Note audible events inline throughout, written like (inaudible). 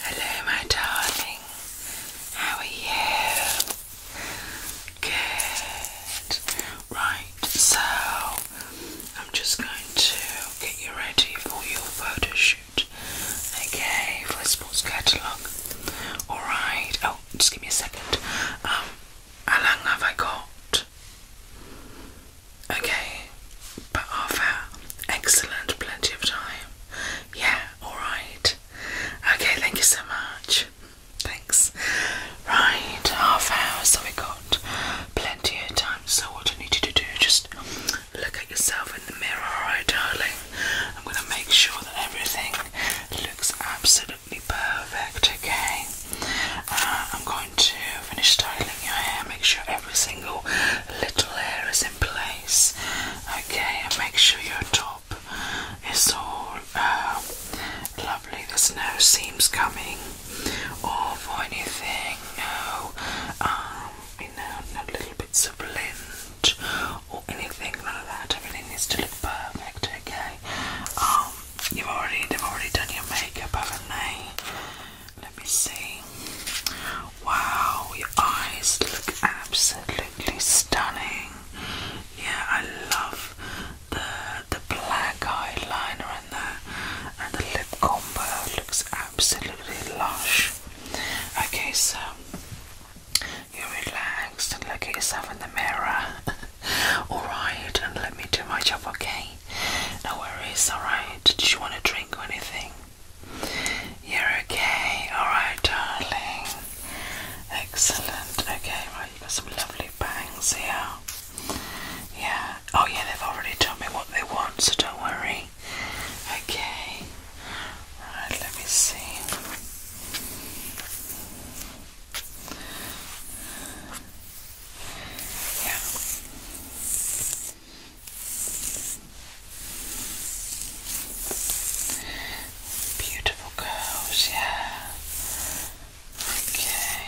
Hello, my darling. How are you? Good. Right, so I'm just going to get you ready for your photo Okay, for the sports catalogue. Alright. Oh, just give me a second. Um, how long have I got? Okay, but half hour. Excellent, plenty of time. Yeah, alright. Okay, thank you so much. Thanks. Right, half hour, so we got plenty of time. So, what I need you to do, just look at yourself in the mirror, right, darling? I'm gonna make sure that everything looks absolutely perfect, okay? Uh, I'm going to finish styling your hair. Make sure every single little hair is in place. Okay, and make sure your top is all um, lovely. There's no seams coming off or anything. No, um, you know, no little bits of lint or anything of that. Everything needs to look perfect. Okay. Um, you've already they've already done your makeup, haven't they? Let me see. Wow, your eyes look absolutely stunning. Yeah, I love the the black eyeliner in there, and the lip combo looks absolutely lush. Okay, so you're relaxed and look at yourself in the mirror. (laughs) Alright, and let me do my job, okay? No worries, alright. Did you want a drink or anything? You're okay, alright, darling. Excellent. Okay, right, you've got some lovely bangs here. Yeah. Oh, yeah, they've already told me what they want, so don't worry. Okay. Right, let me see. Yeah. Beautiful girls. yeah. Okay. Okay.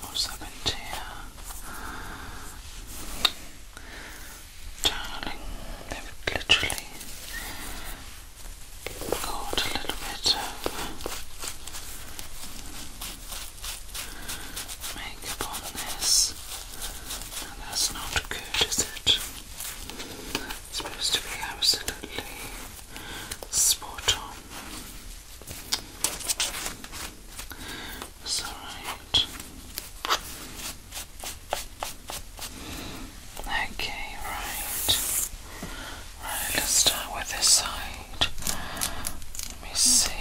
What's Darling, literally got a little bit of makeup on this. that's not good, is it? It's supposed to be absolutely spot on. It's alright. Okay, right. Right, let's start with this side. Let me see.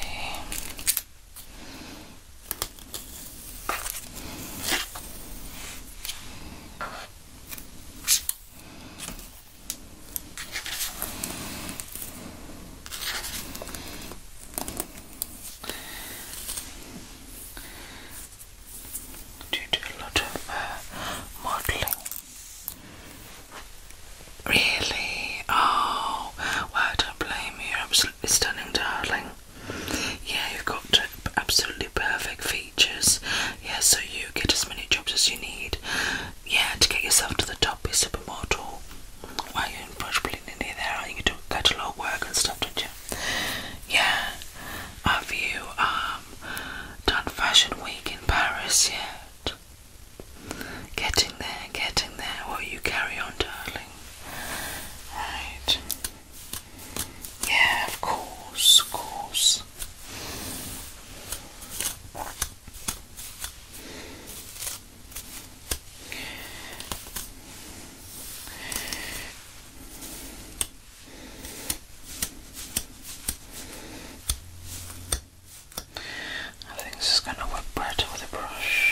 Do you do a lot of uh, modelling? Really? Oh, well, I don't blame you. absolutely stunning, darling. Yeah, you've got absolutely perfect feet. Yeah, so you get as many jobs as you need. Yeah, to get yourself to the top is supermodel. Well, you're probably near there. You do quite work and stuff, don't you? Yeah. Have you um, done Fashion Week in Paris yet? Getting there, getting there. Well, you carry on, darling. Right. Yeah, of course, of course. I think this is going to work better with a brush.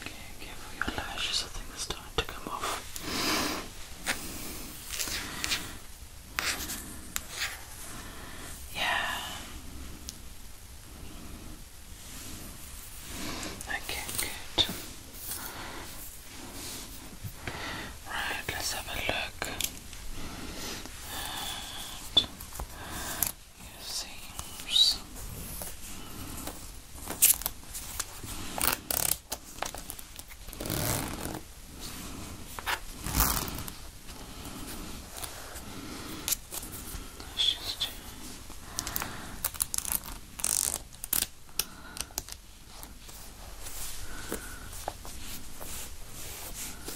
Okay, careful your lashes, I think they starting to come off. Yeah. Okay, good. Right, let's have a look and your seams. just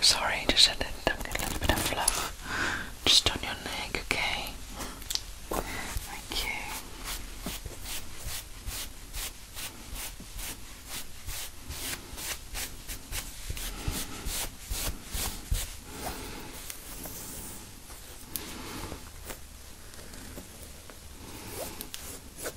sorry, just a little bit of fluff just on your neck, okay? Thank you. Okay.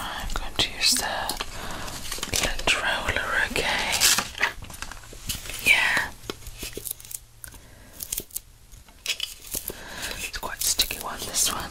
I'm going to use the lint roller again. Yeah. It's quite sticky one, this one.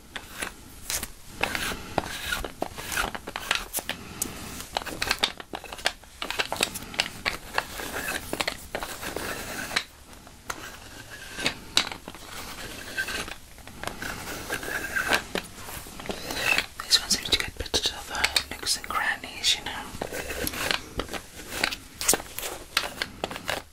These ones seem to get better to the nooks and crannies, you know. Okay,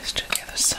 let's do the other side.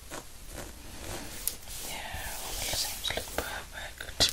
Yeah, all the seams look perfect.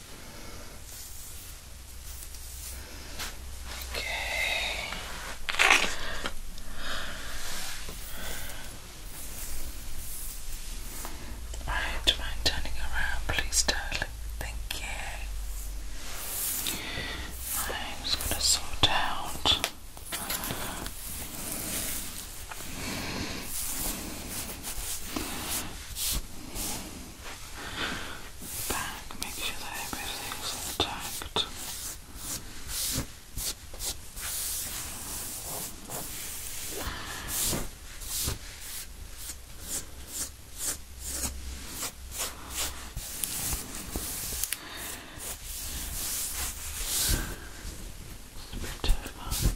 Okay. Alright, do you mind turning around, please, darling? Thank you. I'm just gonna sort out back, make sure that everything's intact. It's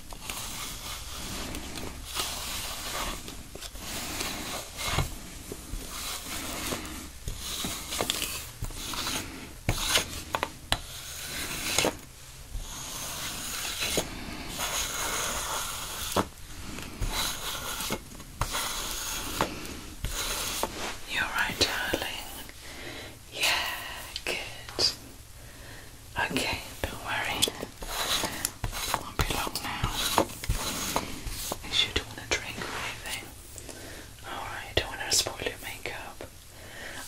You're right, darling. Yeah, good. Okay, don't worry. won't be long now. you don't want to drink or Alright, don't want to spoil your makeup.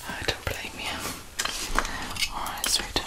Uh, don't blame you. Alright, sweetheart.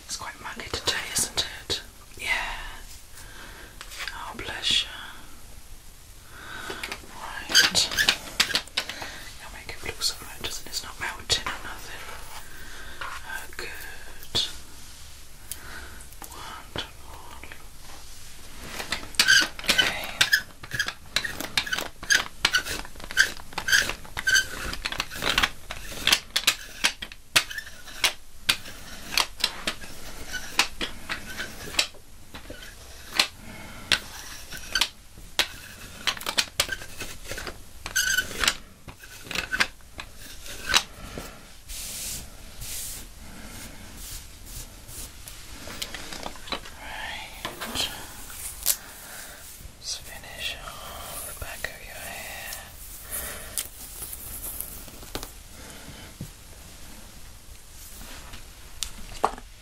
It's quite muddy today, isn't it? Yeah. Oh, bless Right. It'll make it look It's not mountain or nothing. Uh, good. Wonderful. Okay. Right. Let's finish off the back of your hair. Right.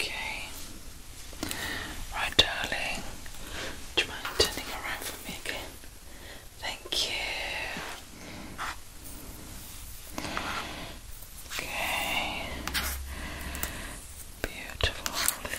Okay. Right, darling. Do you mind turning around for me again? Thank you. Okay. Beautiful.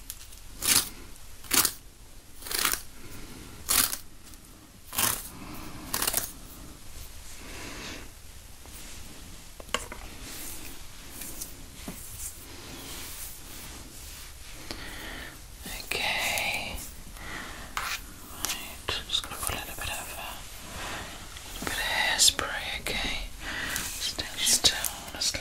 Okay. Right, just gonna put a little bit of a little bit of hairspray, okay? Stay still honestly.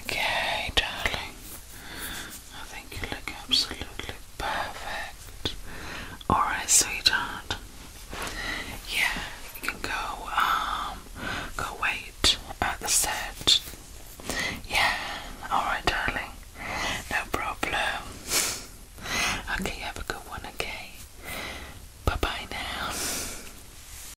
Okay, darling. I think you look absolutely perfect. Alright, sweetheart. Yeah, you can go, um, go wait at the set. Yeah, alright, darling. No problem. Okay, have a good one, okay? Bye bye now.